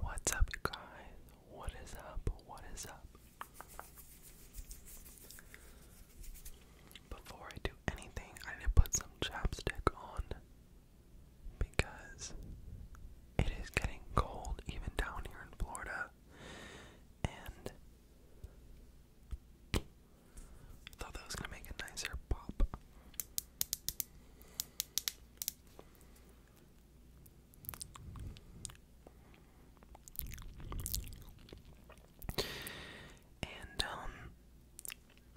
What's up, you guys? What is up? What is up? Before I do anything, I need to put some chapstick on because it is getting cold even down here in Florida, and I thought that was gonna make a nicer pop. And um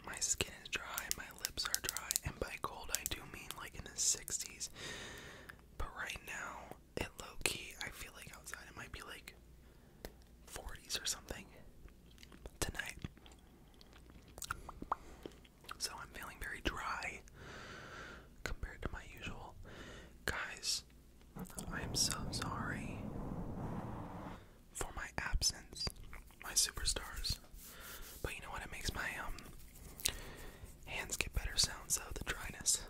my skin is dry, my lips are dry, and by cold I do mean like in the 60s. But right now, it low key, I feel like outside it might be like 40s or something tonight. So I'm feeling very dry compared to my usual. Guys, I am so sorry for my absence, my superstars. But you know what? It makes my um hands get better sounds though, the dryness.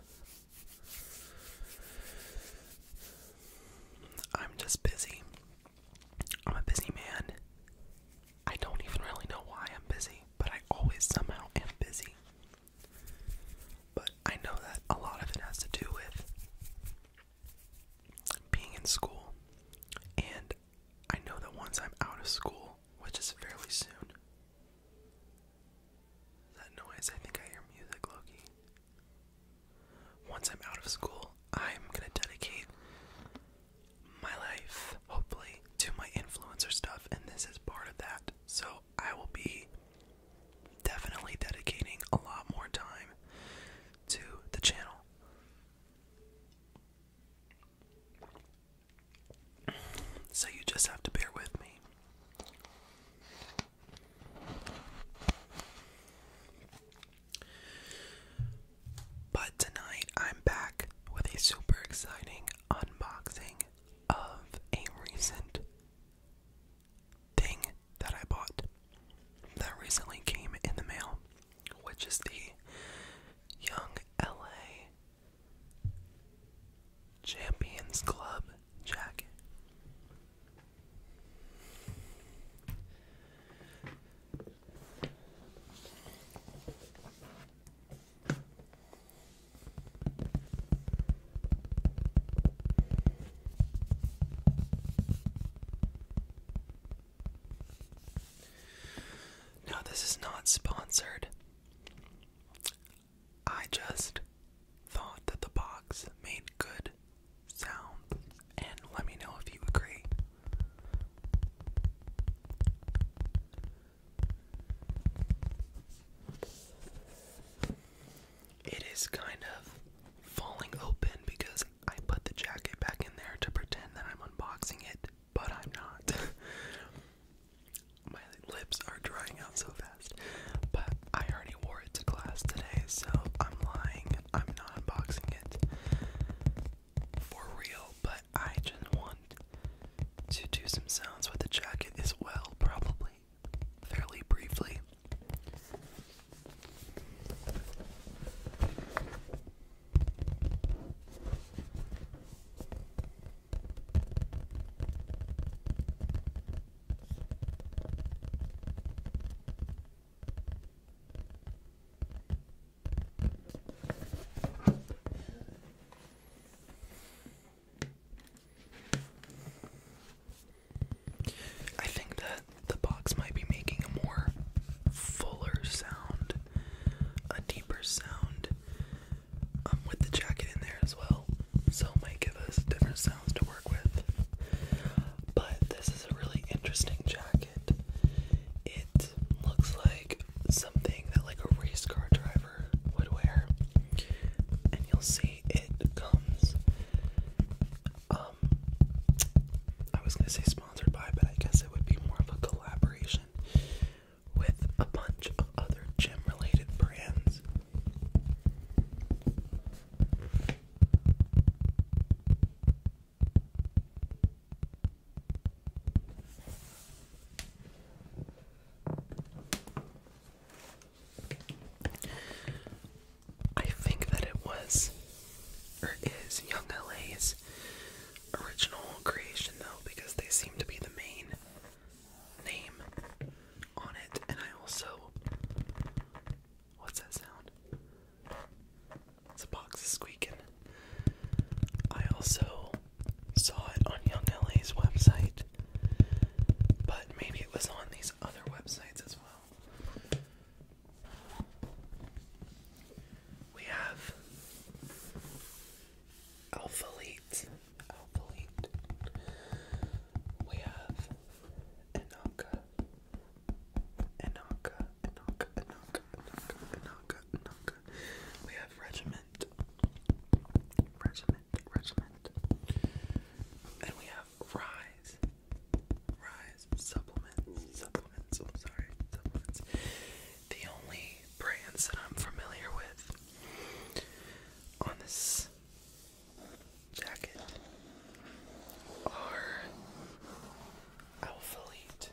I'm just busy. I'm a busy man. I don't even really know why I'm busy, but I always somehow am busy. But I know that a lot of it has to do with being in school. And I know that once I'm out of school, which is fairly soon. That noise, I think I hear music, Loki. Once I'm out of school, I'm gonna dedicate my life, hopefully, to my influencer stuff, and this is part of that. So I will be definitely dedicating a lot more time to the channel. So you just have to bear with me. But tonight I'm back with a super exciting unboxing of a recent thing that I bought that recently came in the mail, which is the Young LA Champions Club jacket. No, this is not sponsored. I just thought that the box made good sounds, and let me know if you agree. It is kind of falling open because I put the jacket back in there to pretend that I'm unboxing it, but I'm not. My lips are drying out so fast, but I already wore it to class today, so I'm lying. I'm not unboxing it for real, but I just want to do some sounds with the jacket as well, probably fairly briefly. I think that the box might be making a more fuller sound, a deeper sound, um, with the jacket in there as well. So it might give us different sounds to work with. But this is a really interesting jacket. It looks like something that like a race car driver would wear. And you'll see it comes um I was gonna say sponsored by, but I guess it would be more of a collaboration with a bunch of other gym related brands. I think that it was or is Young LA's original creation though because they seem to be the main name on it and I also what's that sound? The box is squeaking. I also saw it on Young LA's website, but maybe it was on these other websites as well. We have Alpha Elite. We have Enoka. Inaka, Inaka, Inaka, Inaka, Inaka, Inaka. We have Regiment, Regiment, Regiment. And we have Rise, Rise, Supplements, Supplements, I'm sorry, Supplements. The only brands that I'm familiar with on this jacket are Alpha Elite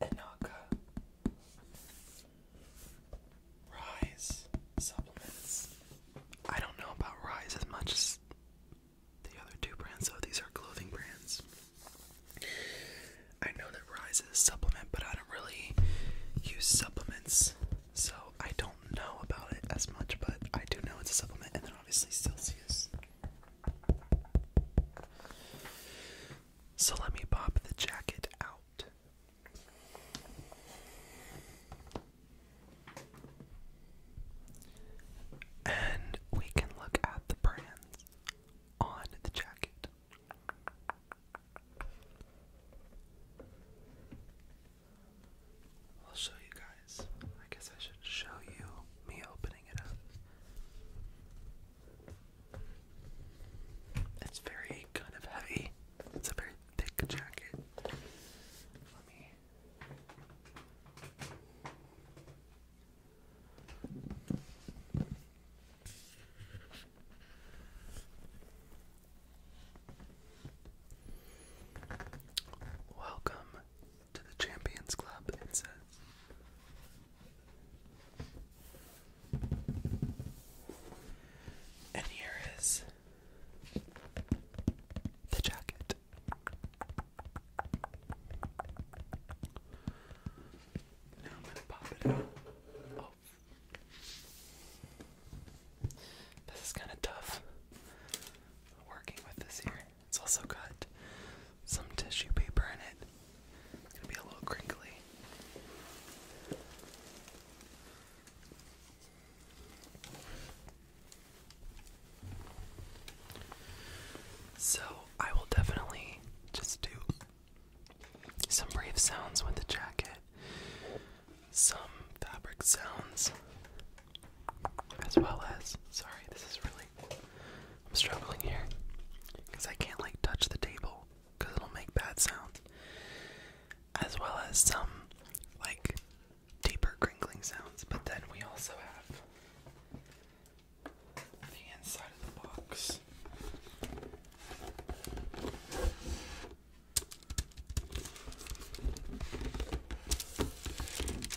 Inaka Rise supplements. I don't know about Rise as much as the other two brands, so these are clothing brands. I know that Rise is a supplement, but I don't really use supplements, so I don't know about it as much, but I do know it's a supplement, and then obviously Celsius so let me pop the jacket out. And we can look at the brands on the jacket. I'll show you guys. I guess I should show you me opening it up. It's very kind of heavy. It's a very thick jacket. Let me Welcome to the Champions Club, it says. And here is the jacket. Now I'm going to pop it out. Oh. This is kind of tough working with this here. It's also got some tissue paper in it. It's gonna be a little crinkly. So, I will definitely just do some brief sounds with the jacket, some fabric sounds, as well as sorry, this is really I'm struggling here because I can't like touch the table because it'll make bad sounds, as well as some like deeper crinkling sounds. But then we also have the inside of the box.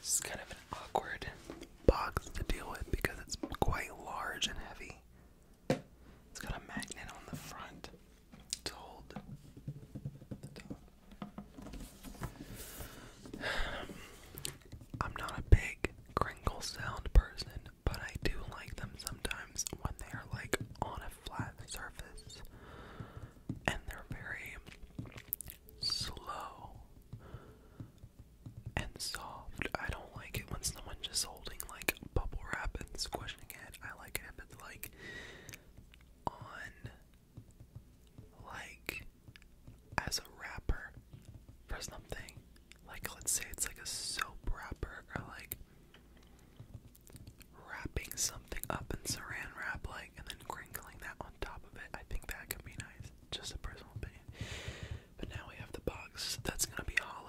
This is kind of an awkward box to deal with because it's quite large and heavy. It's got a magnet on the front to hold I'm not a big crinkle sound person, but I do like them sometimes when they are like on a flat surface and they're very slow and soft. I don't like it when someone's just holding like bubble wrap and squishing it. I like it if it's like on like as a wrapper for something. Like let's say it's like a soap wrapper or like wrapping something up in saran wrap like and then crinkling that on top of it. I think that could be nice. Just a personal opinion. But now we have the box that's gonna be hollow.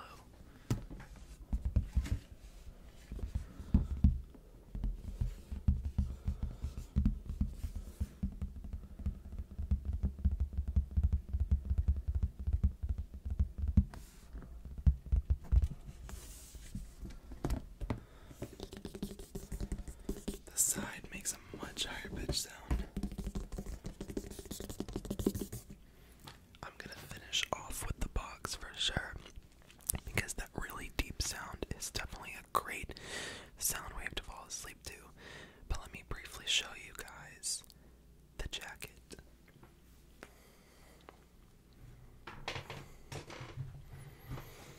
The side makes a much higher pitch sound. I'm gonna finish off with the box for sure because that really deep sound is definitely a great sound wave to fall asleep to. But let me briefly show you guys the jacket.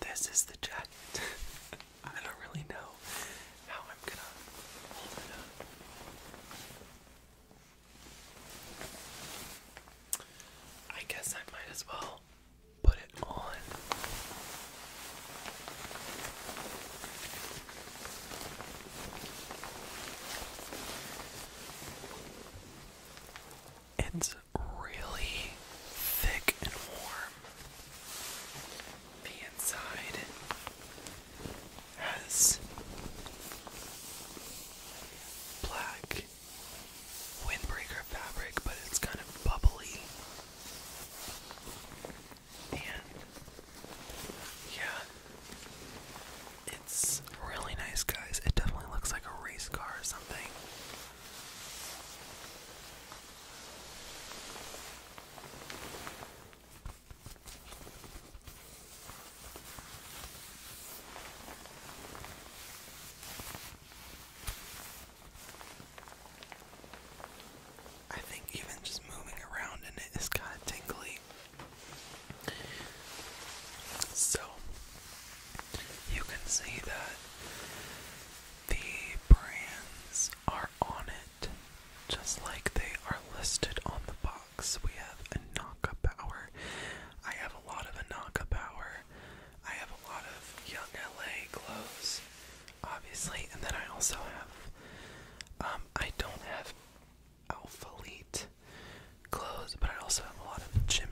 This is the jacket. I don't really know how I'm gonna hold it I guess I might as well put it on. It's really thick and warm. The inside has black windbreaker fabric, but it's kind of bubbly. And yeah, it's really nice, guys. It definitely looks like a race car or something. I think even just moving around in it is kind of tingly. So, you can see that the brands are on it just like they are listed on the box. Fox, we have Anaka Power. I have a lot of Anaka Power. I have a lot of Young LA clothes, obviously, and then I also have, um, I don't have Alpha Elite clothes, but I also have a lot of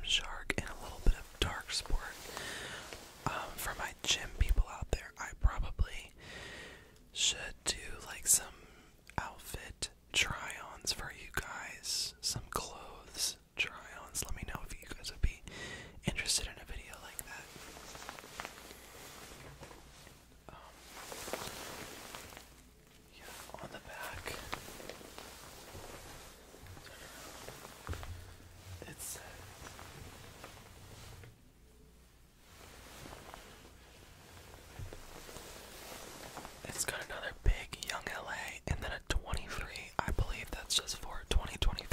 Shark and a little bit of Dark Sport. Um, for my gym people out there, I probably should do like some outfit try ons for you guys, some clothes try ons. Let me know if you guys would be interested in a video like that. Um, yeah, on the back, it it's got another big young LA and then a 23. I believe that's just for 2023.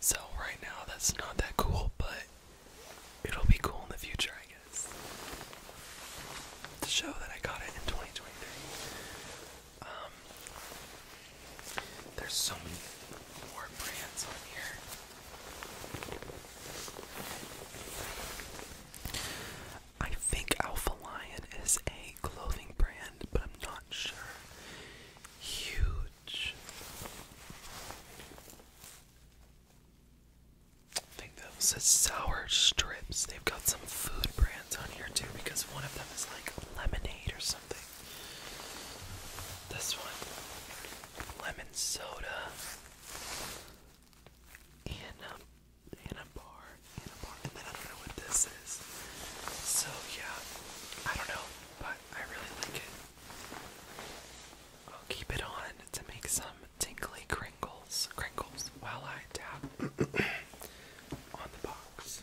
So right now that's not that cool, but it'll be cool in the future, I guess. To show that I got it in 2023. Um There's so many more brands on here. I think Alpha Lion is a clothing brand, but I'm not sure. Huge. think that was sour strips. They've got some food brands on here too because one of them is like lemonade or something. This one, lemon soda. Anna, Anna Bar, Anna Bar, and then I don't know what this is. So yeah, I don't know, but I really like it. I'll keep it on to make some tinkly crinkles, crinkles while I tap on the box.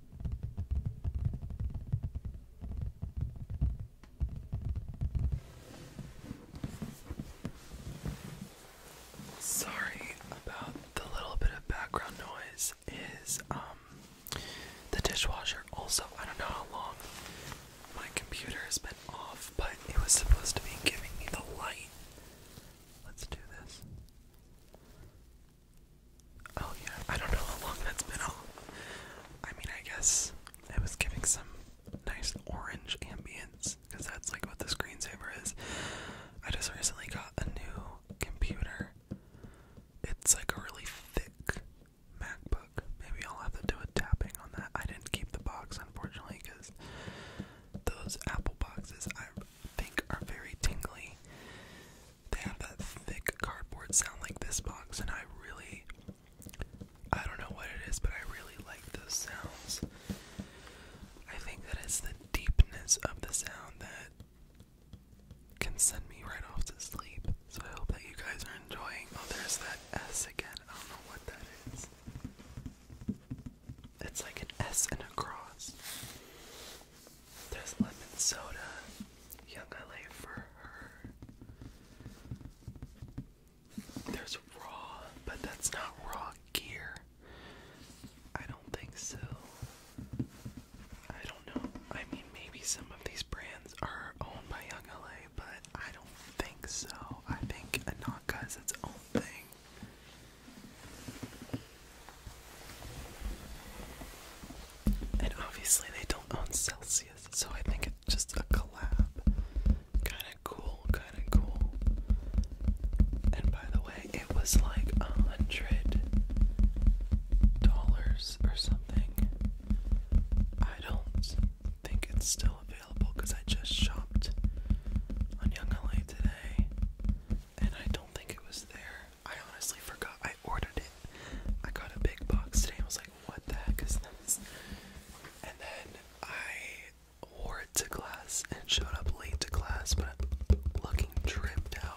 Sorry about the little bit of background noise is um the dishwasher also I don't know how long my computer has been off but it was supposed to be giving me the light. Let's do this. Oh yeah, I don't know how long that's been I mean, I guess it was giving some nice orange ambience because that's like what the screensaver is. I just recently got a new computer. It's like a really thick MacBook. Maybe I'll have to do a tapping on that. I didn't keep the box unfortunately because those Apple boxes I think are very tingly they have that thick cardboard sound like this box, and I really, I don't know what it is, but I really like those sounds. I think that it's the deepness of the sound that can send me right off to sleep. So I hope that you guys are enjoying. Oh, there's that S again. I don't know what that is. It's like an S and a cross. There's lemon soda, young LA for her. There's raw, but that's not raw gear. I don't think so. I don't know. I mean, maybe some of these brands are owned by Young LA, but I don't think so. I think Anaka is its own thing. And obviously, they don't own Celsius, so I think it's just a collab. Kind of cool, kind of cool. And by the way, it was like a hundred dollars or something. I don't think it's still available because I just shopped on Young LA today, and I don't think it was there. I honestly forgot I ordered it. I got a big box today. I was like, what the heck is this? And then I wore it to class and showed up late to class, but looking tripped out.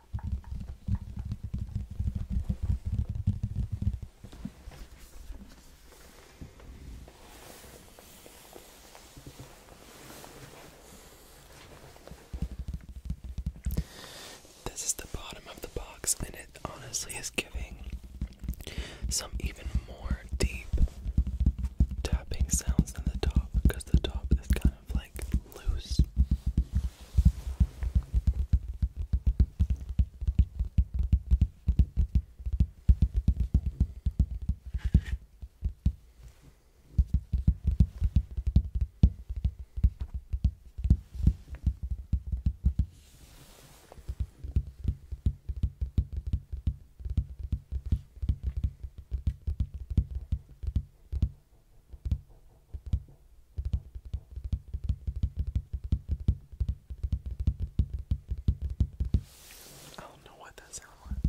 This is the bottom of the box, and it honestly is giving some even more deep tapping sounds than the top because the top is kind of kind of like loose. Okay. I don't know what that sound was.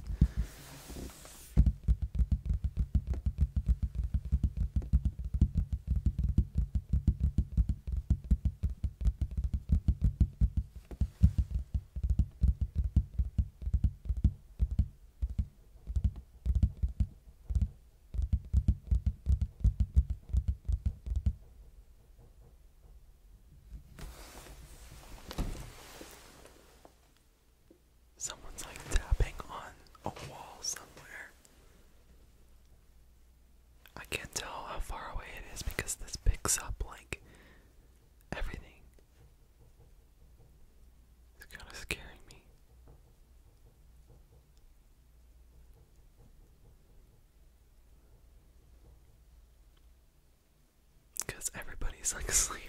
Someone's like tapping on a wall somewhere. I can't tell how far away it is because this picks up like everything. It's kind of scaring me. Because everybody's like asleep.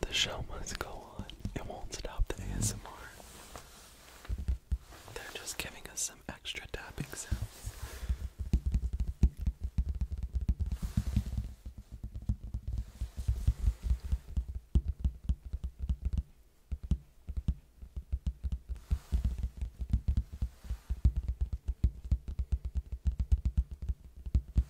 The show must go on. It won't stop the ASMR. They're just giving us some extra tapping sounds.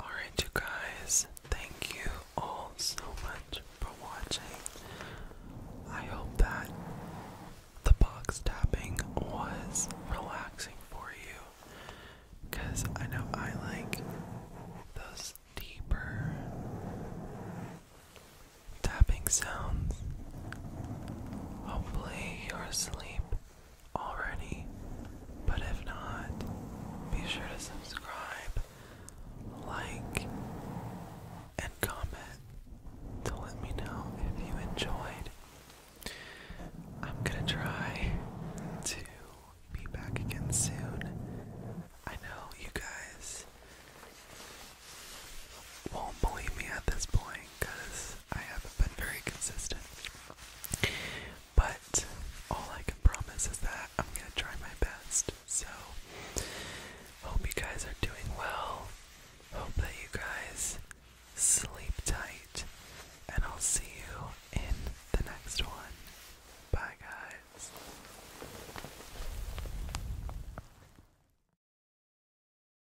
Alright, you guys, thank you all so much for watching. I hope that the box tapping was relaxing for you because I know I like those deeper tapping sounds. Hopefully, you're asleep already, but if not, be sure to subscribe, like, and comment to let me know if you enjoyed. I'm gonna try to be back again soon. I know you guys won't believe me at this point, because I haven't been very consistent. But all I can promise is that I'm gonna try my best. So, hope you guys are doing well. Hope that you guys sleep tight, and I'll see you in the next one. Bye, guys.